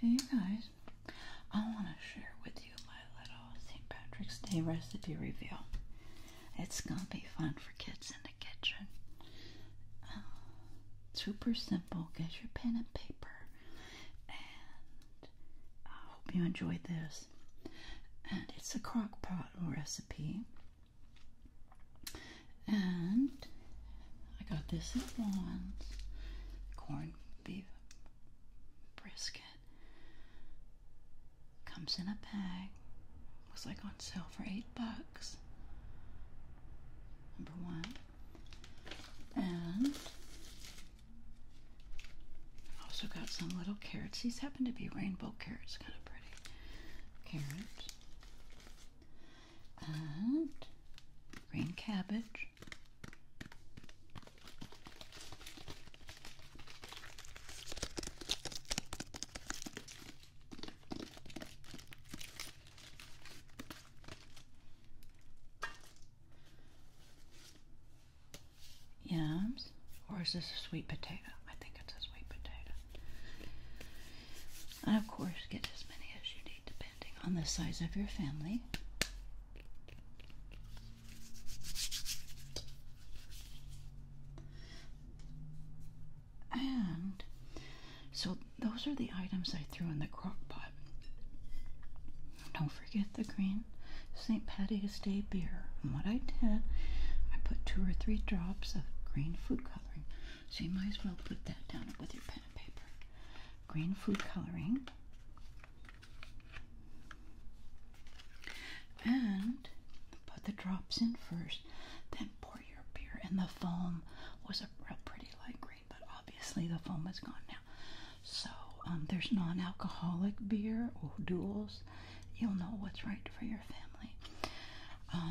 Hey guys, I want to share with you my little St. Patrick's Day recipe reveal. It's gonna be fun for kids in the kitchen. Uh, super simple. Get your pen and paper, and I hope you enjoyed this. And it's a crock pot recipe. And I got this at Vaughn's corned beef brisket. Comes in a bag. Was like on sale for eight bucks. Number one. And also got some little carrots. These happen to be rainbow carrots, kind of pretty. Carrots green cabbage. Yams, or is this a sweet potato? I think it's a sweet potato. And of course, get as many as you need depending on the size of your family. And so those are the items I threw in the crock pot. Don't forget the green St. Patty's Day beer. And what I did, I put two or three drops of green food coloring so you might as well put that down with your pen and paper. Green food coloring. And put the drops in first, then pour your beer. And the foam was a real pretty light green, but obviously the foam is gone now. So um, there's non alcoholic beer or duels. You'll know what's right for your family family.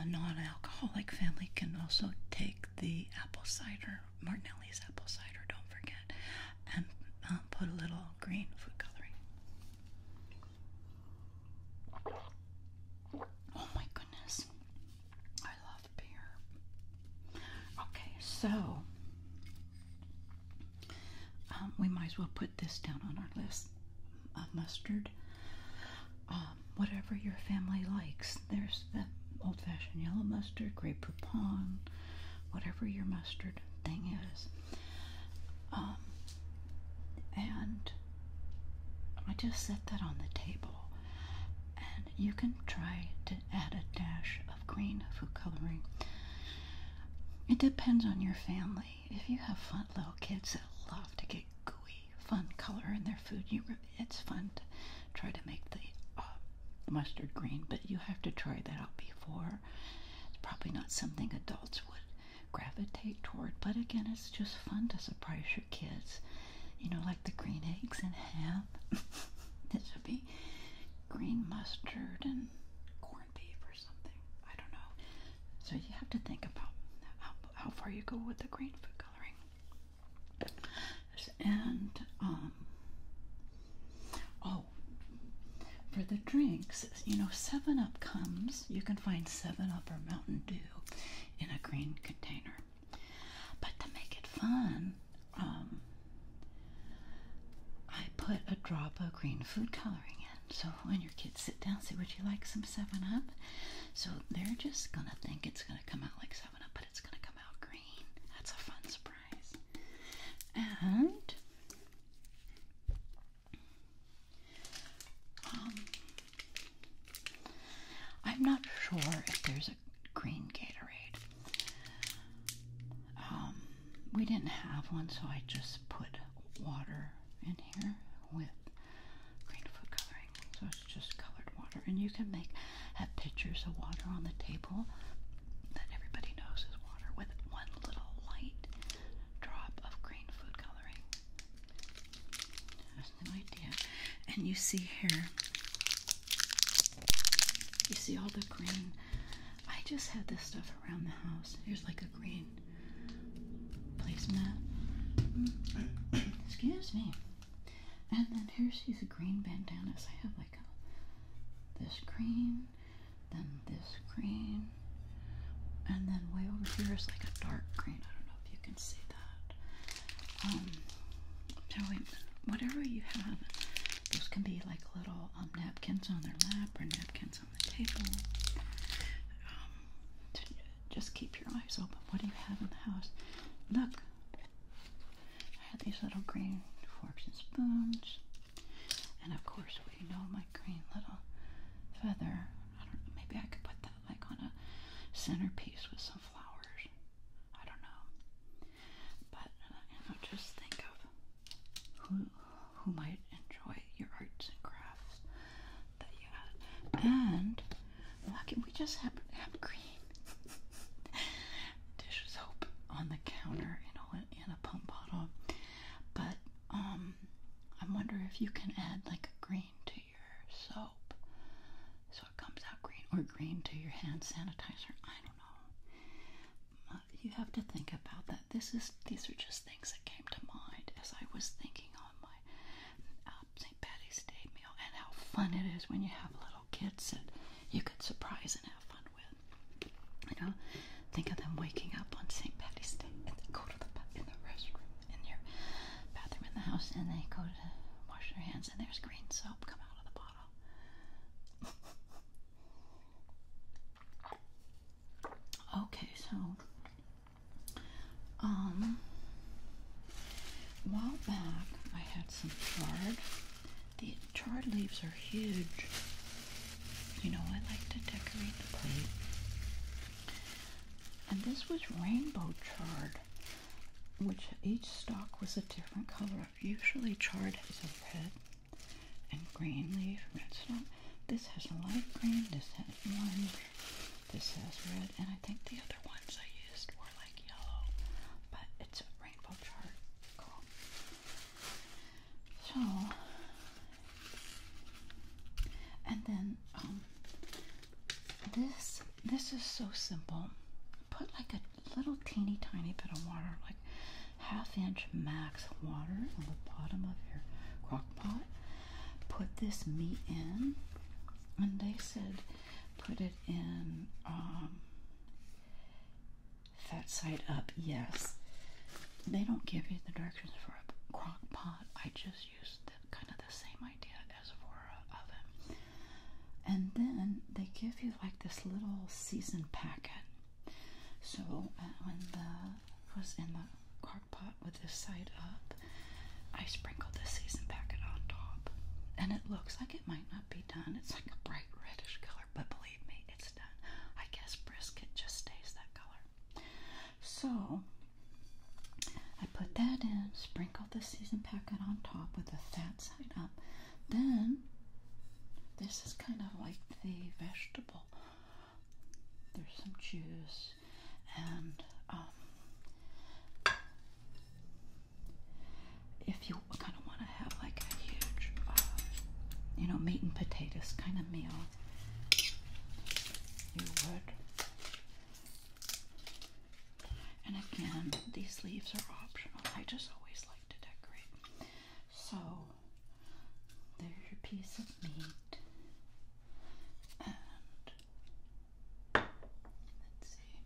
non-alcoholic family can also take the apple cider, Martinelli's apple cider, don't forget, and uh, put a little green food coloring. Oh my goodness, I love beer. Okay, so um, we might as well put this down on our list: of mustard, um, whatever your family likes. There's the old fashioned yellow mustard, Grey whatever your mustard thing is. Um, and I just set that on the table. And you can try to add a dash of green food coloring. It depends on your family. If you have fun little kids that love to get gooey fun color in their food. it's fun to try to make uh, the mustard green, but you have to try that out before. It's probably not something adults would gravitate toward, but again, it's just fun to surprise your kids. You know, like the green eggs and ham. this would be green mustard and corned beef or something. I don't know. So you have to think about how far you go with the green food and um, oh for the drinks, you know, seven up comes, you can find seven up or mountain dew in a green container. But to make it fun, um, I put a drop of green food coloring in. So when you're kids sit down, say, Would you like some 7 Up? So they're just going to think it's going to come out like 7 Up, but it's going to come out green. That's a fun surprise. And um, I'm not sure if there's a green Gatorade. Um, we didn't have one, so I just put water in here with green food coloring. So it's just colored water. And you can make pictures of water on the table that everybody knows is water with one little light drop of green food coloring. That's idea. And you see here, you see all the green. I just had this stuff around the house. Here's like a green fine placement. Excuse me. And then here she's a green bandana. So I have like a, this green, then this green, and then way over here is like a dark green. I don't know if you can see that. Um, so whatever you have, those can be like little um, napkins on their lap or napkins on the table. Um, just keep your eyes open. What do you have in the house? Look, I have these little green forks and spoons. And of course, we know my green little feather. maybe I could put that like on a centerpiece with some flowers. I don't know. But, just think of who, who might enjoy your arts and crafts. And why can we just have, have green dish soap on the counter, in a pump bottle? But um, I wonder if you can add like a green to your soap, so it comes out green, or green to your hand sanitizer. I don't know. Uh, you have to think about that. This is these are just things that came to mind as I was thinking on my uh, St. Patty's Day meal and how fun it is when you have little kids that you could surprise and have fun with. You know, think of them waking up on St. Patty's Day and they go to the in in your bathroom in the house and they go to wash their hands and there's green soap come out of the bottle. Okay, so a um, while back, I had some chard. The chard leaves are huge. You know, I like to decorate the plate. And this was rainbow chard, which each stalk was a different color. Usually, chard is a red and green leaf, red stalk. This has a light green, this has orange, this has red, and I think the other ones I used were like yellow, but it's a rainbow chart. Cool. So, and then um, this this is so simple. Put like a little teeny tiny bit of water, like half inch max water on the bottom of your crock pot put this meat in, and they said put it in um, fat side up. Yes, they don't give you the directions for a crock pot. I just used the, kind of the same idea as for an oven. And then they give you like this little season packet. So uh, when the was in the pot with this side up. I sprinkle the season packet on top, and it looks like it might not be done. It's like a bright reddish color, but believe me, it's done. I guess brisket just stays that color. So I put that in, sprinkle the season packet on top with the fat side up. Then this is kind of like the vegetable there's some juice and um, if you kind of want to have like a huge, uh, you know, meat and potatoes kind of meal, you would. And again, these leaves are optional. I just always like to decorate. So, there's your piece of meat. And let's see.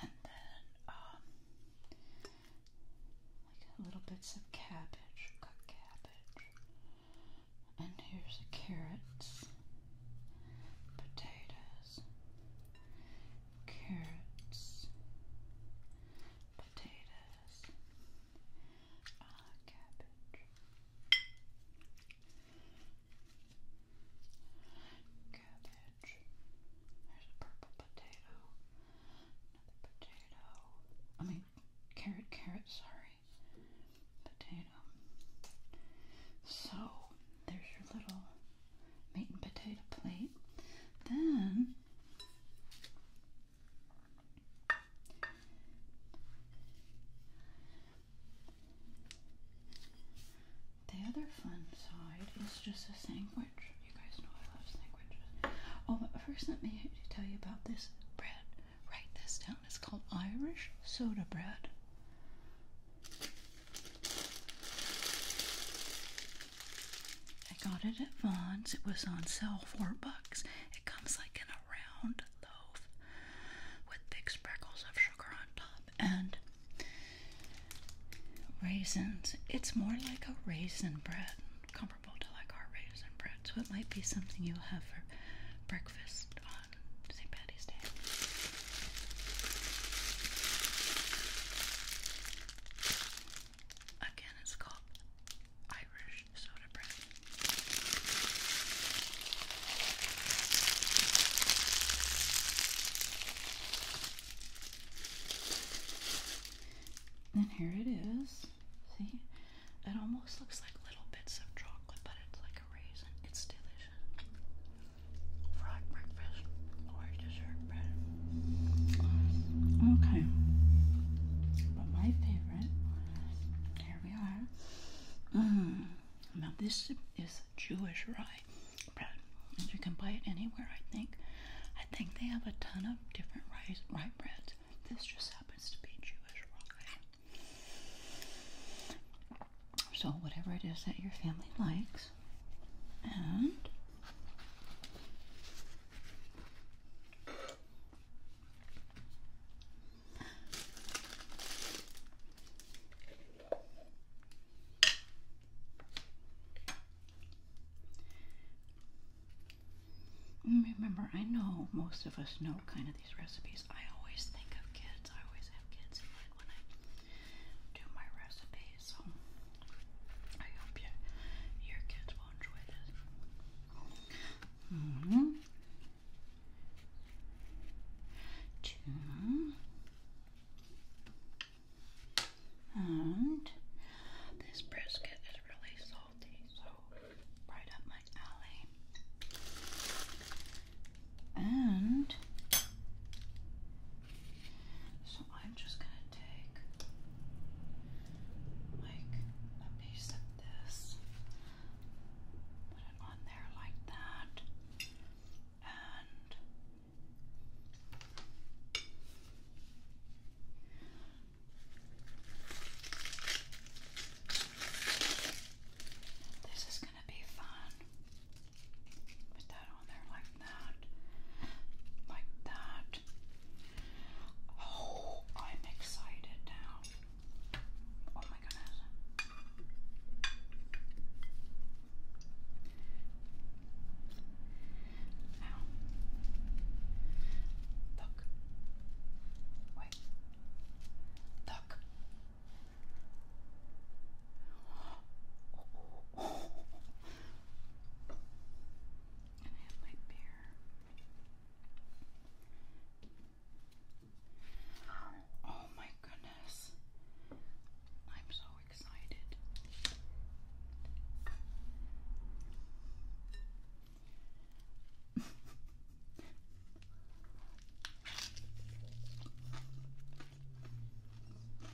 And then um like little bits of cabbage, cut cabbage. And here's the carrots, potatoes, carrots, potatoes, uh, cabbage, cabbage. There's a purple potato, another potato. I mean, carrot, carrot. Sorry, potato. So there's your little meat and potato plate. Then the other fun side is just a sandwich. You guys know I love sandwiches. Oh, but first let me tell you about this bread. Write this down. It's called Irish soda bread. I got it at Vaughn's. It was on sale four bucks. It comes like in a round loaf with big sprinkles of sugar on top and raisins. It's more like a raisin bread, comparable to like our raisin bread. So it might be something you'll have for breakfast on St. Patty's Day. Again, it's called Irish soda bread. And here it is. See? It almost looks like little bits of chocolate, but it's like a raisin. It's delicious. Fried breakfast or dessert. Okay. But my favorite, here we are. Mm. Now this is Jewish rye bread. you can buy it anywhere, I think. I think they have a ton of different rice, rye breads. This just happens to be Jewish rye. So whatever it is that your family likes, and Remember, I know most of us know kind of these recipes. I always think of kids. I always have kids in mind when I do my recipes so I hope your, kids will enjoy this. Mm-hmm. two, and this brisket is really salty, so right up my alley. And so I'm just going to take like a piece of this, put it on there like that, and this is going to be fun. Put that on there like that. Like that. Oh, I'm excited now. Oh my goodness. Now, look. Wait. Look. Oh, oh, oh. And I have my beer. Oh my goodness. I'm so excited.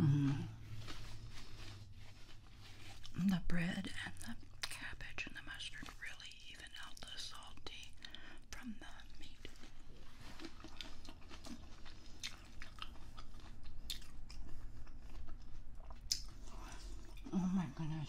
Mm. The bread and the cabbage and the mustard really even out the salty from the meat. Oh my goodness.